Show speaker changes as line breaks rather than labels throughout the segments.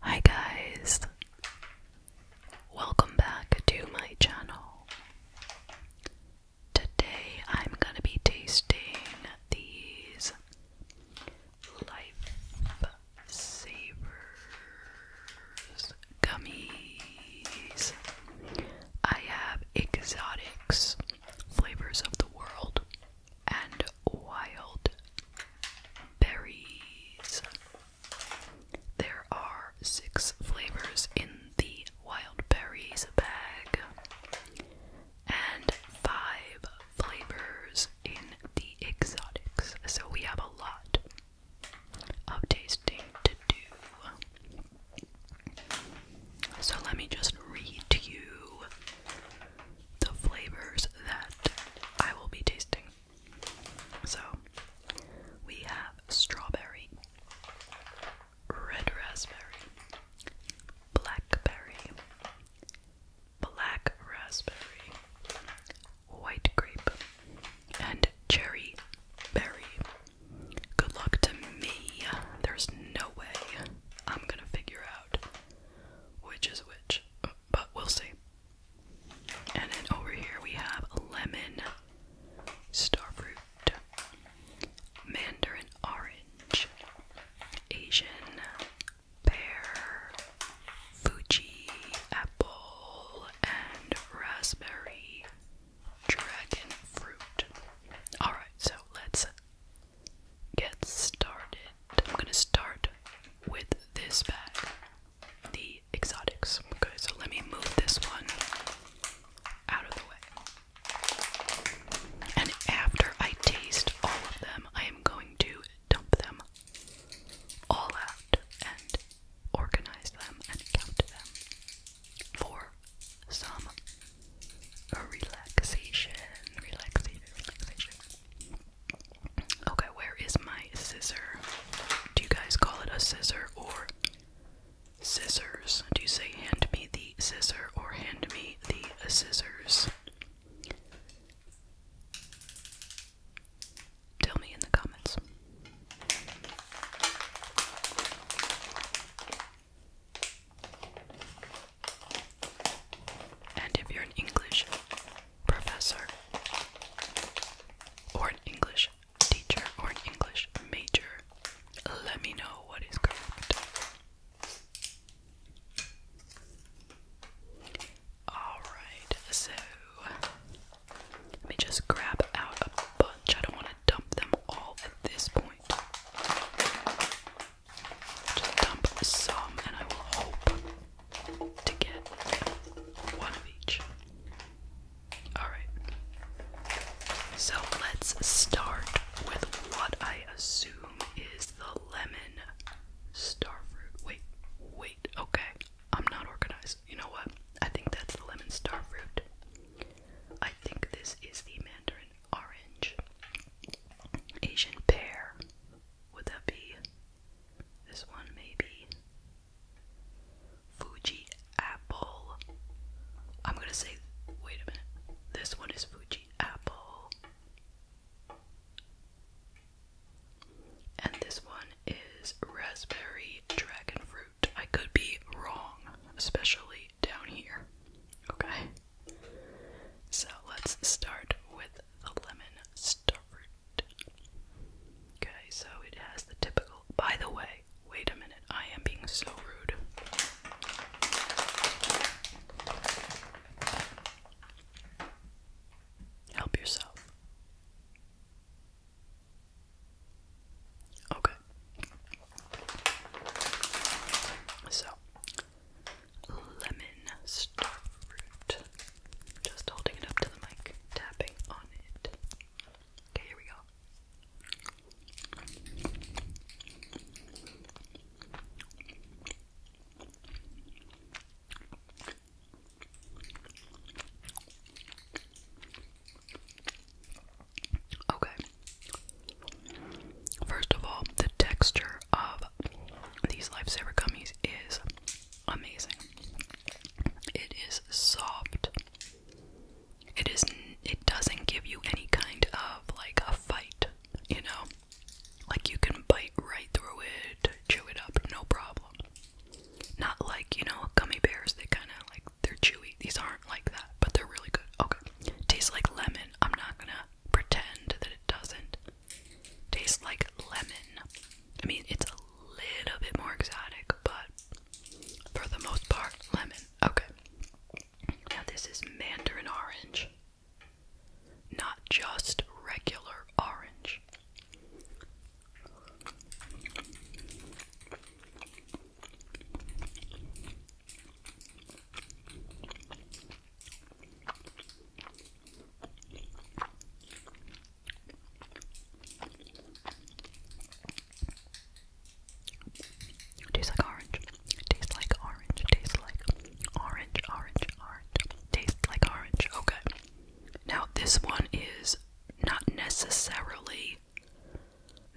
Hi guys, welcome back to my channel. Today I'm gonna be tasting these Life Savers gummies. I have exotics, flavors of the world, and wild berries. There are six flavors in the wild berries bag and five flavors in the exotics. So we have a lot of tasting to do. So let me just read to you the flavors that I will be tasting. So, we have strawberry, red raspberry, blackberry, black raspberry, white grape, and cherry berry. Good luck to me. There's no way I'm gonna figure out which is which but we'll see. And then over here we have lemon, starfruit, mandarin orange, Asian, pear, Fuji, apple, and raspberry dragon fruit. Alright, so let's get started. I'm going to start with this bag, the Exotics. Okay, so let me move this one out of the way. And after I taste all of them, I am going to dump them all out and organize them and count them for some relaxation, relaxation, relaxation. Okay, where is my scissor? Do you guys call it a scissor or scissors? Do you say hand me the scissor or hand me the scissors? Tell me in the comments. And if you're an English professor, or an English teacher, or an English major, let me know what is correct. Alright, so let me just grab out a bunch. I don't want to dump them all at this point. Just dump some, and I will hope to get one of each. Alright. So let's start with what I assume is the lemon starfruit. Wait, wait, okay. I'm not organized. You know what? I think that's the lemon starfruit. I think this is the mandarin orange, Asian pear, would that be this one, maybe? Fuji apple. I'm gonna say, wait a minute. This one is Fuji apple. And this one is raspberry dragon fruit. I could be wrong, especially down here. Okay? So let's start with the lemon starved. Okay, so it has the typical. By the way, wait a minute, I am being so rude. Help yourself. Okay. So, lemon starfruit. Just holding it up to the mic, tapping on it. Okay, here we go. Okay. First of all, the texture of these lifesaver gummies is amazing. It is soft. It is it doesn't give you any kind of like a fight, you know? Like you can bite right through it, chew it up, no problem. Not like, you know, gummy bears, they kinda like they're chewy. These aren't like that, but they're really good. Okay. Tastes like lemon. I'm not gonna pretend that it doesn't. Tastes like lemon. I mean, it's a little bit more exotic, but for the most part, lemon. Okay. Now, this is mandarin orange. Not just regular orange. Tastes like orange. Tastes like orange. Tastes like orange. Orange. Orange. Tastes like orange. Okay. Now this one is not necessarily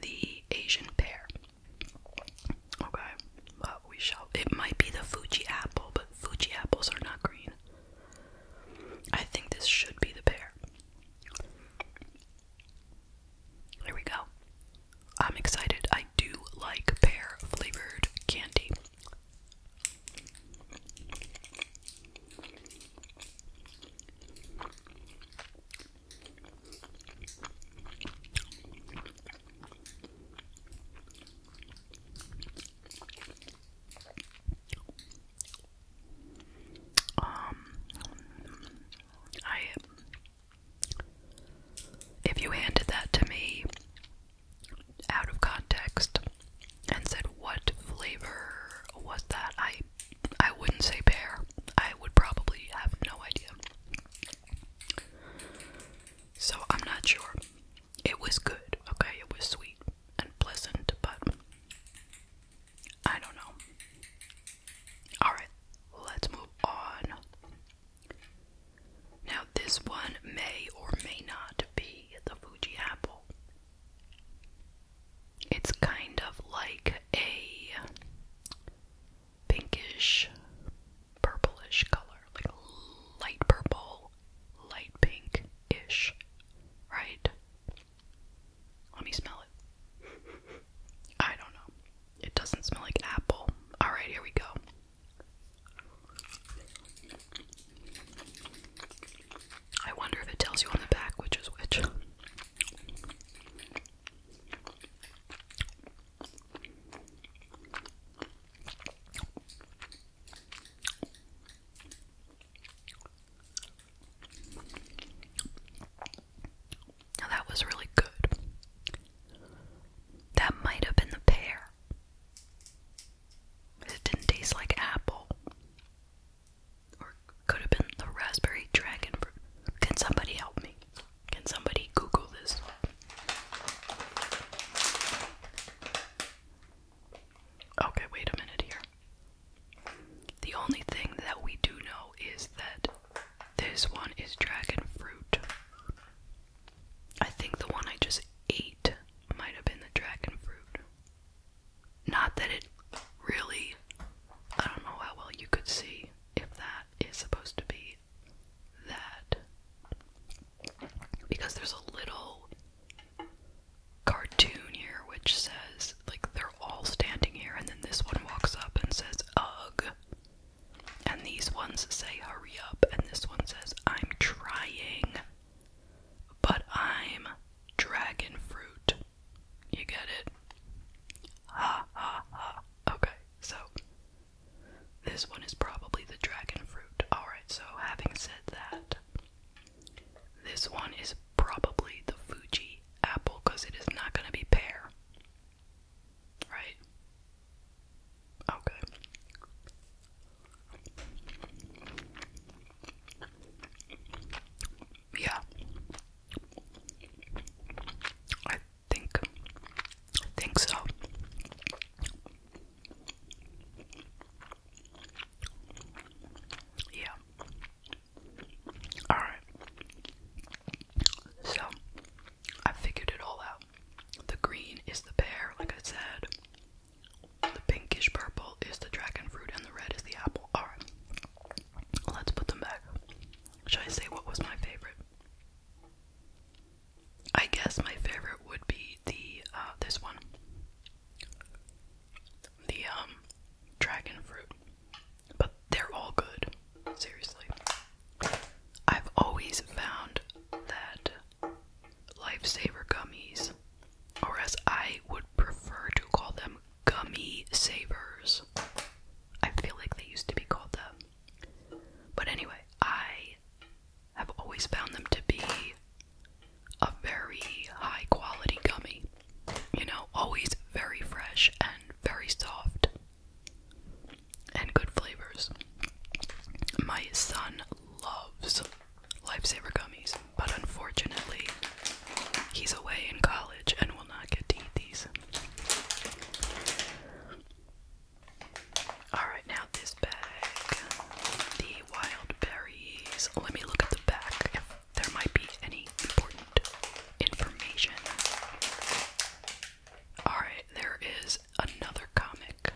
the Asian pear. Okay, but we shall. It might be the Fuji apple, but Fuji apples are not green. I think this should be the pear. Here we go. I'm excited. I do like pear flavored candy. Um, I. If you handed that to me out of context and said, "What flavor was that?" I, I wouldn't say pear. I would probably have no idea. So I'm not sure. It was good, okay? It was sweet and pleasant, but I don't know. Alright, let's move on. Now, this one may or may not be the Fuji apple. It's kind of like a pinkish purplish color, like light purple, light pink ish, right? Let me smell it. I don't know. It doesn't smell like apple. Alright, here we go. I wonder if it tells you on the back which is which that was really good. That might have been the pear. It didn't taste like apple. Or could have been the raspberry dragon fruit. Can somebody help me? Can somebody Google this? Okay, wait a minute here. The only thing that we do know is that this one is dragon fruit. I think the one I just ate might have been the dragon fruit. Not that it really. I don't know how well you could see if that is supposed to be that because there's a little cartoon here which says like they're all standing here and then this one walks up and says ugh and these ones say hurry up and this one says i'm trying but i'm dragon fruit you get it ha ha ha okay so this one is probably the dragon fruit. Alright, so having said that, this one is probably the Fuji apple because it is not going to be pear. Right? Okay. Yeah think think so. Yeah. Alright. So I figured it all out. The green is the pear, like I said. The pinkish purple is the dragon fruit, and the red is the apple. Alright. Let's put them back. Should I say what was my favorite? I guess my favorite would be the uh, this one, the um dragon fruit, but they're all good. Seriously, I've always found that lifesaver gummies, or as I would prefer to call them, gummy savers. I feel like they used to be called that. But anyway, I I have always found them to be a very high quality gummy. You know, always very fresh and very soft and good flavors. My son loves Lifesaver gummies, but unfortunately, he's away in college and will not get to eat these. Alright, now this bag. The wild berries. Oh, let me look at the back if there might be any important information. Alright, there is another comic.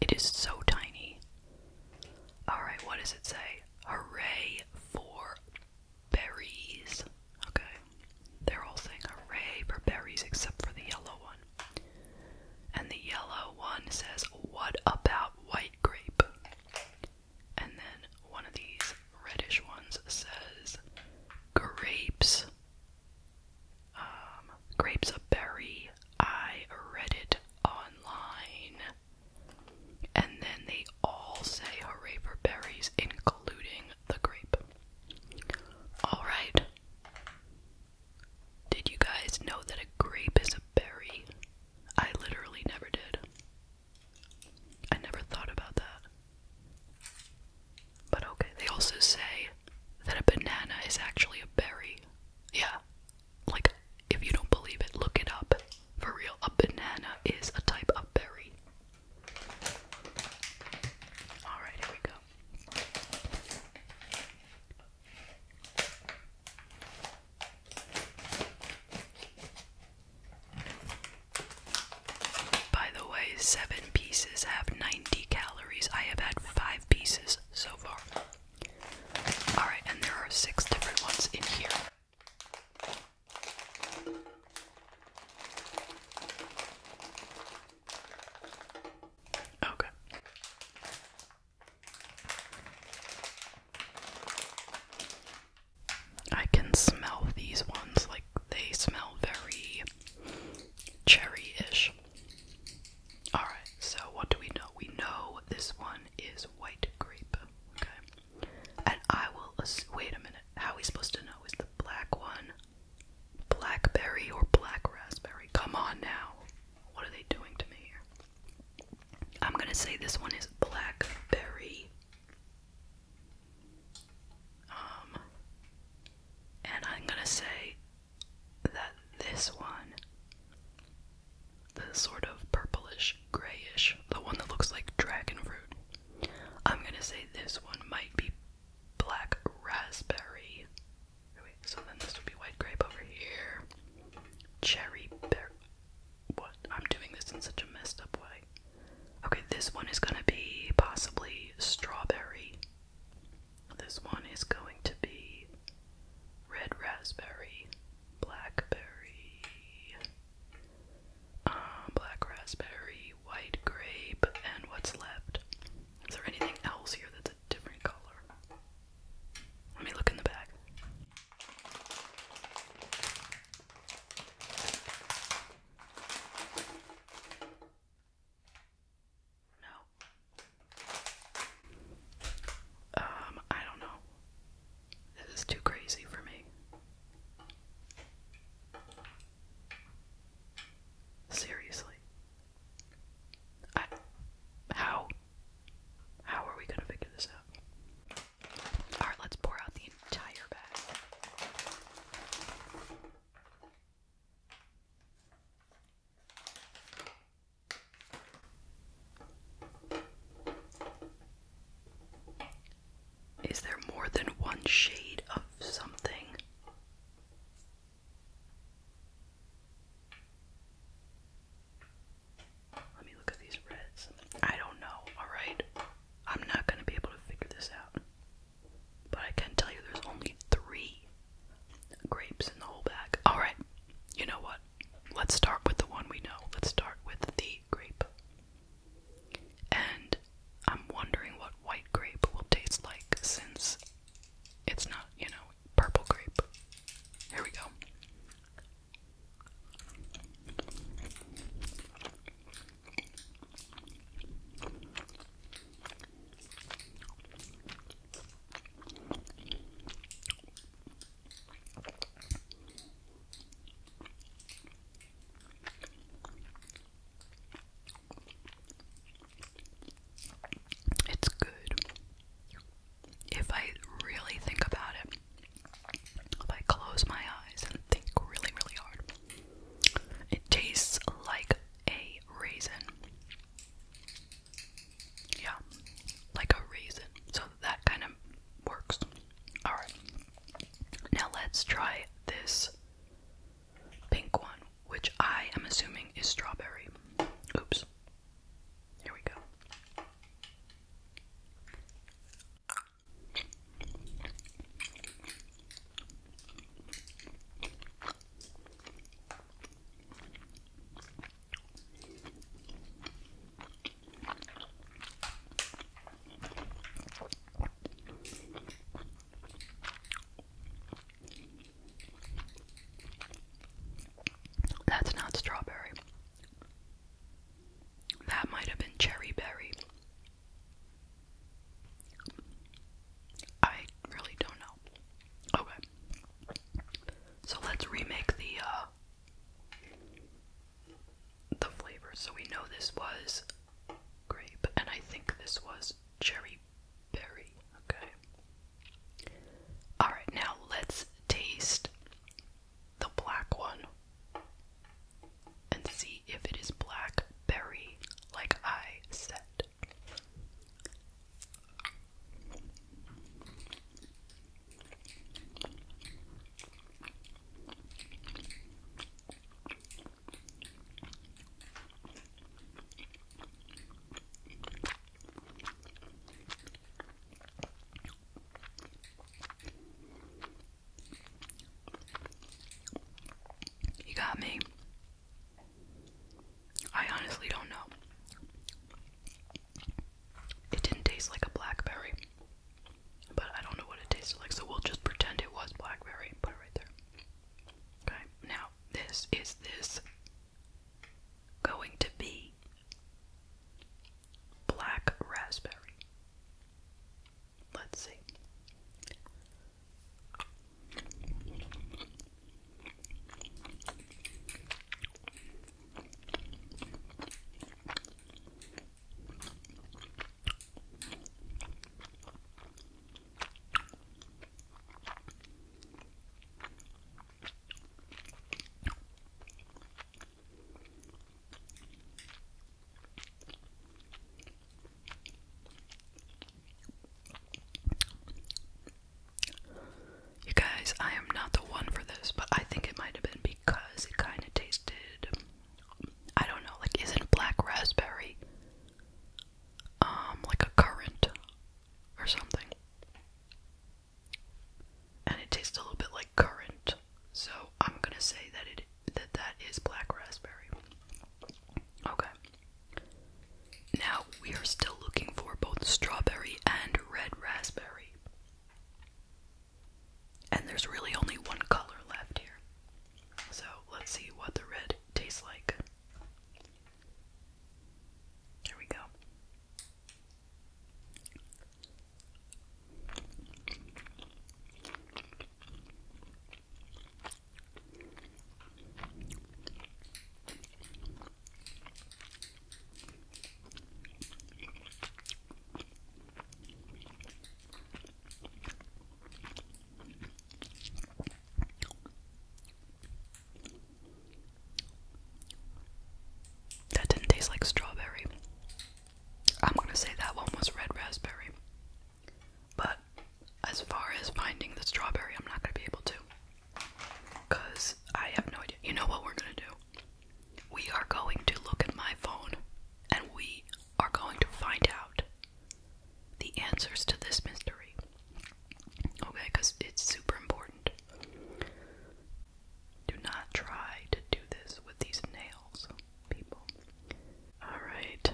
It is so tiny. Alright, what does it say? Hooray for berries. Okay. They're all saying hooray for berries except for the yellow one. And the yellow one says, What about white grape? And then one of these reddish ones says, Grapes. Um, grapes are berry. I read it online. And then they all say hooray for berries, including the grape. Alright. Did you guys know that a grape is a berry? I literally never did. I never thought about that. But okay, they also say that a banana is actually a berry. Yeah. Like, if you don't believe it, look it up. For real, a banana is a type of berry. Alright, here we go. By the way, seven pieces have 90 calories. I have had five pieces so far. Alright, and there are six different ones in here. Okay. I can smell these ones, like, they smell very cherry ish. Alright, so what do we know? We know this one is white grape, okay? And I will. Wait a minute, how are we supposed to know? Is the black one Blackberry or black raspberry. Come on now. What are they doing to me here? I'm gonna say this one is blackberry. Um, and I'm gonna say that this one, the sort of purplish, grayish, the one that looks like dragon fruit, I'm gonna say this one might be black raspberry. so then this would be white grape over here. Cherry bear. What? I'm doing this in such a messed up way. Okay, this one is gonna be possibly strawberry. This one is going to be red raspberry, blackberry, um, black raspberry, white grape and what's left. Is there anything else here that's a different color? Let me look in the bag. No. Um, I don't know. This is too crazy for me. Seriously. I, how? How are we gonna figure this out? Alright, let's pour out the entire bag. Is there more than one shade of something? Let me look at these reds. I don't know, alright? I'm not going to be able to figure this out. But I can tell you there's only three grapes in the whole bag. Alright, you know what? Let's start with the one we know. Let's start with the grape. And I'm wondering what white grape will taste like since it's not, you know, purple grape. Here we go. It's good. If I really think about it, if I close my eyes and think really, really hard, it tastes like a raisin. Yeah, like a raisin. So that kind of works. Alright. Now let's try this pink one, which I am assuming is strawberry. Oops. Here we go. That's not strawberry. That might have been cherry berry. I really don't know. Okay. So let's remake the uh the flavors. So we know this was grape, and I think this was cherry berry. Okay. Alright, now let's taste the black one and see if it is blackberry, like I said. You got me. I honestly don't know. It didn't taste like a blackberry. But I don't know what it tasted like, so we'll just pretend it was blackberry and put it right there. Okay, now this is this going to be black raspberry. Let's see. You guys, I am not the one for this, but I think it might have been because it kind of tasted I don't know, like isn't black raspberry um like a currant or something? And it tastes a little bit like currant. So I'm gonna say that it that that is black raspberry. Okay. Now we are still looking for both strawberry and red raspberry. And there's really only one color left here. So let's see what the red tastes like. Here we go. That didn't taste like strawberry. I'm gonna say that one was red raspberry. But as far as finding the strawberry, I'm not gonna be able to. Because I have no idea. You know what we're gonna do? We are going to look at my phone and we are going to find out the answers to this mystery. Okay, because it's super important. Do not try to do this with these nails, people. Alright,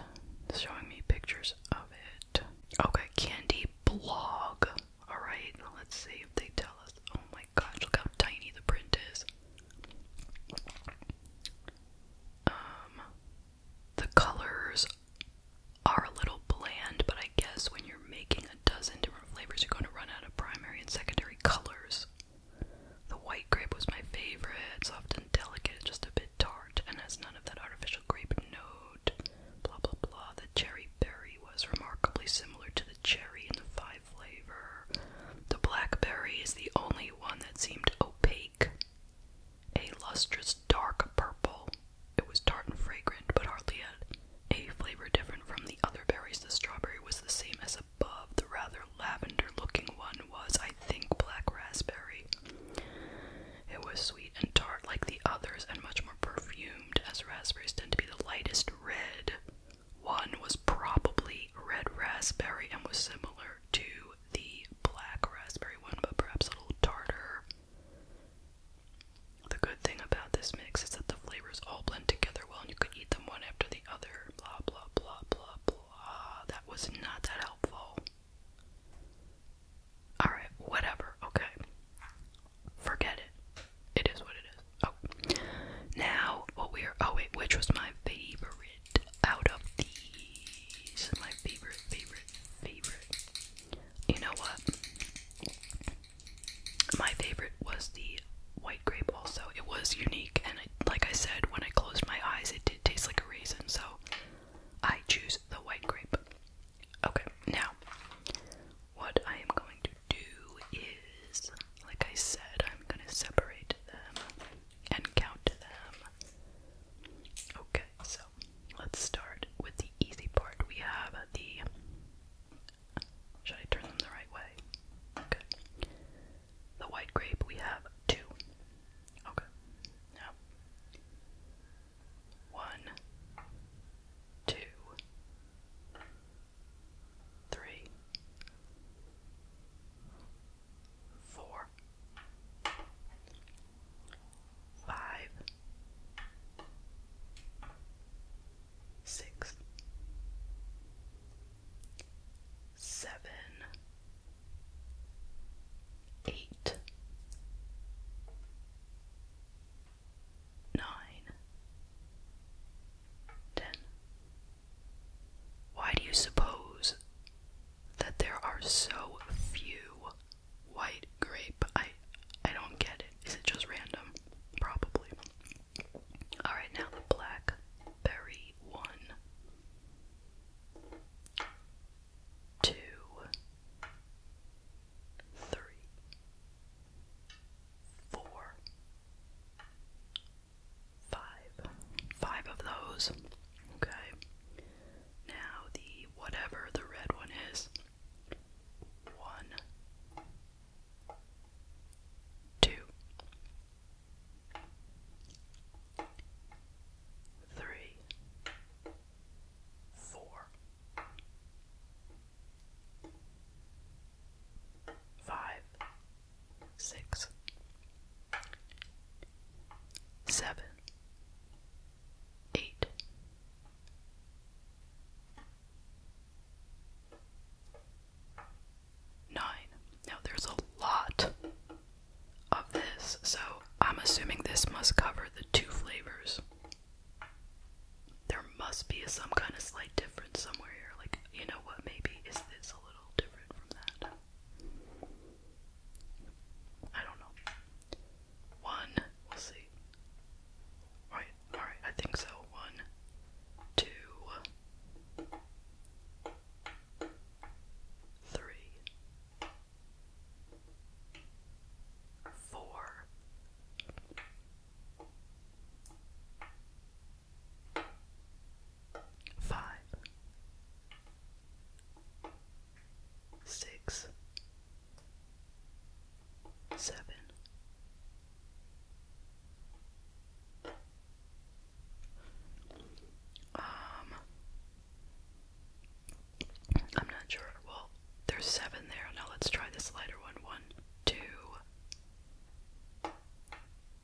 showing me pictures of it. Okay, candy blog. Alright, let's see if they tell us. Oh my gosh, look how tiny the print is. Um, the colors are a little bland, but I guess when you're making a dozen different flavors, you're going to run out of primary and secondary colors. The white grape was my favorite. It's and delicate, just a bit tart, and has none of that artificial grape note. Blah blah blah. The cherry berry was remarkably similar to the cherry in the five flavor. The blackberry is the only one that seemed opaque, a lustrous dark purple. It was tart and fragrant, but hardly had a flavor different from the other berries. The strawberry was the same as above. The rather lavender looking one was, I think, black raspberry. It was sweet and tart like the others, and much more perfumed, as raspberries tend to be the lightest red. One was probably red raspberry and was similar to the black raspberry one, but perhaps a little tartar. The good thing about this mix is that the flavors all blend together well and you can eat them one after the other. Blah, blah, blah, blah, blah. That was not that helpful. Alright, whatever. Okay. Forget it. It is what it is. Oh. Now, what we are. Oh, wait, which was my favorite? out of these. My favorite, favorite, favorite. You know what? My favorite was the white grape, also. It was unique, and like I said, when I closed my eyes, it did taste like a raisin, so I choose the white grape. Okay, now, what I am going to do is, like I said, I'm going to separate them and count to them. Okay, so let's start with the easy part. We have the. Should I turn them the right way? Okay. The white grape, we have two. Okay. Now, one, two, three, four, five, six, seven, eight, nine, ten. Why do you suppose that there are so few white grape? I I don't get it. Is it just random? Probably. Alright, now the blackberry one. Two three four Five. Five of those. Okay. Now the whatever the red one is. One six, seven, eight, nine. Now there's a lot of this, so I'm assuming this must cover the two flavors. There must be some kind of slight difference somewhere here. Like, you know what, maybe is this a little different from that? I don't know. One, we'll see. Right, alright, I think so. One, two, three, four, five, six, seven, um, I'm not sure, well, there's seven there, now let's try this lighter one, one, two,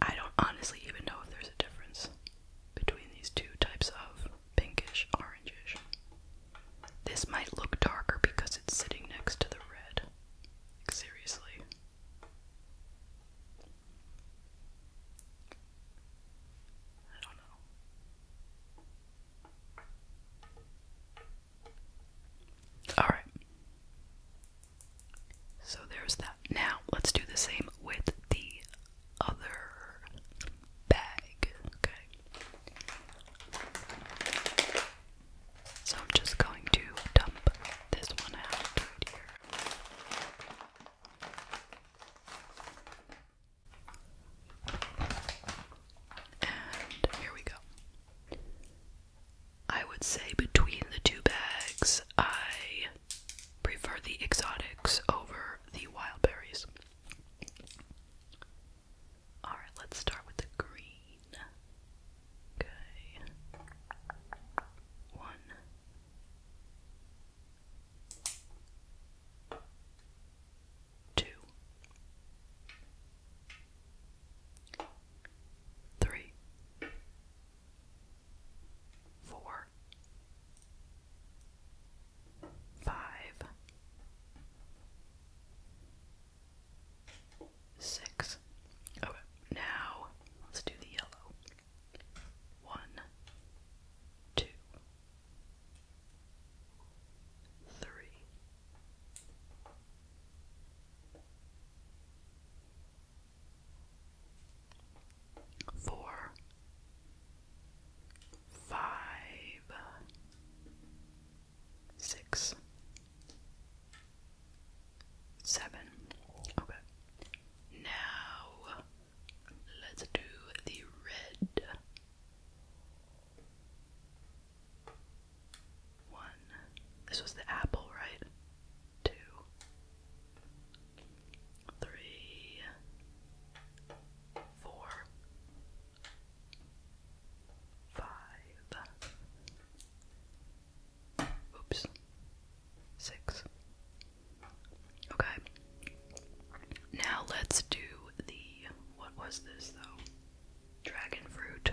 I don't honestly even know if there's a difference between these two types of pinkish orangish. This might look darker because it's sitting next to the red. seriously. I don't know. Alright. So there's that. Now let's do the same with the other bag. Okay. So I'm just going to dump this one out here. And here we go. I would say between the two bags, I prefer the exotics over the wild berries. Alright, let's start with the green. Okay. One. Two three, four, five, six. Okay, now let's do the yellow. One, two, three, four, five, six, seven. Okay. Now let's do the red. One. This was the apple, right? Two. Three. Four. Five. Oops. Six. Okay. Now let's do the. What was this though? Dragon fruit.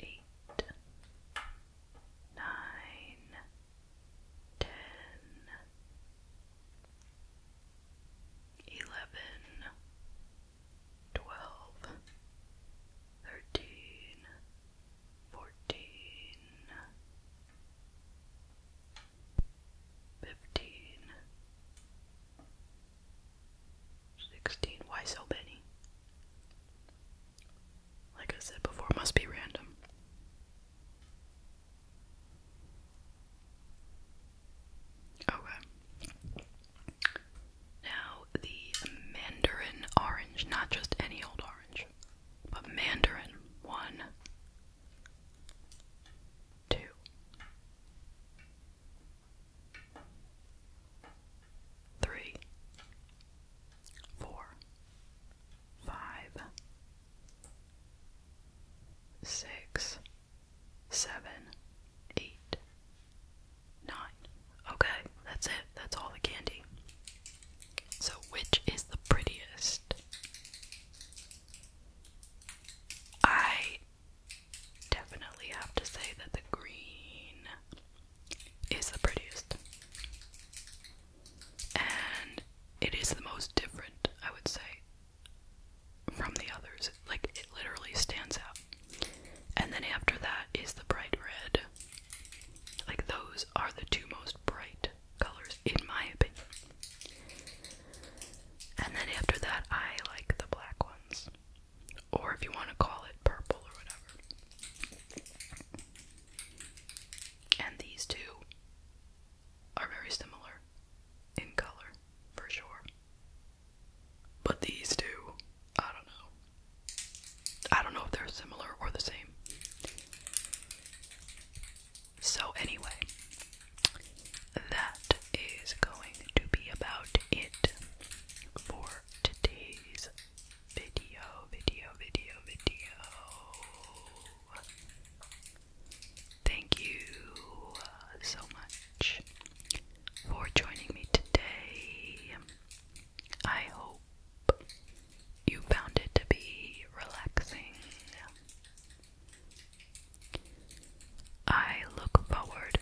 eight, nine, ten, eleven, twelve, thirteen, fourteen, fifteen. 16. Why so many? Like I said before, must be random. Okay. Now, the mandarin orange, not just any old orange, but mandarin. One, two, three, four, five, six, seven, eight, nine. Okay, that's it. That's all the candy. So, which is the prettiest? I definitely have to say that the green is the prettiest. And it is the most different, I would say, from the others. Like, it literally stands out. And then after that is the bright red. Like, those are the two most bright colors, in my opinion. And then after that, I like the black ones or if you want to call it purple or whatever. And these two are very similar in color, for sure. But these two, I don't know. I don't know if they're similar or the same. So, anyway, that is going to be about it for today's video, video, video, video. Thank you uh, so much for joining me today. I hope you found it to be relaxing. I look forward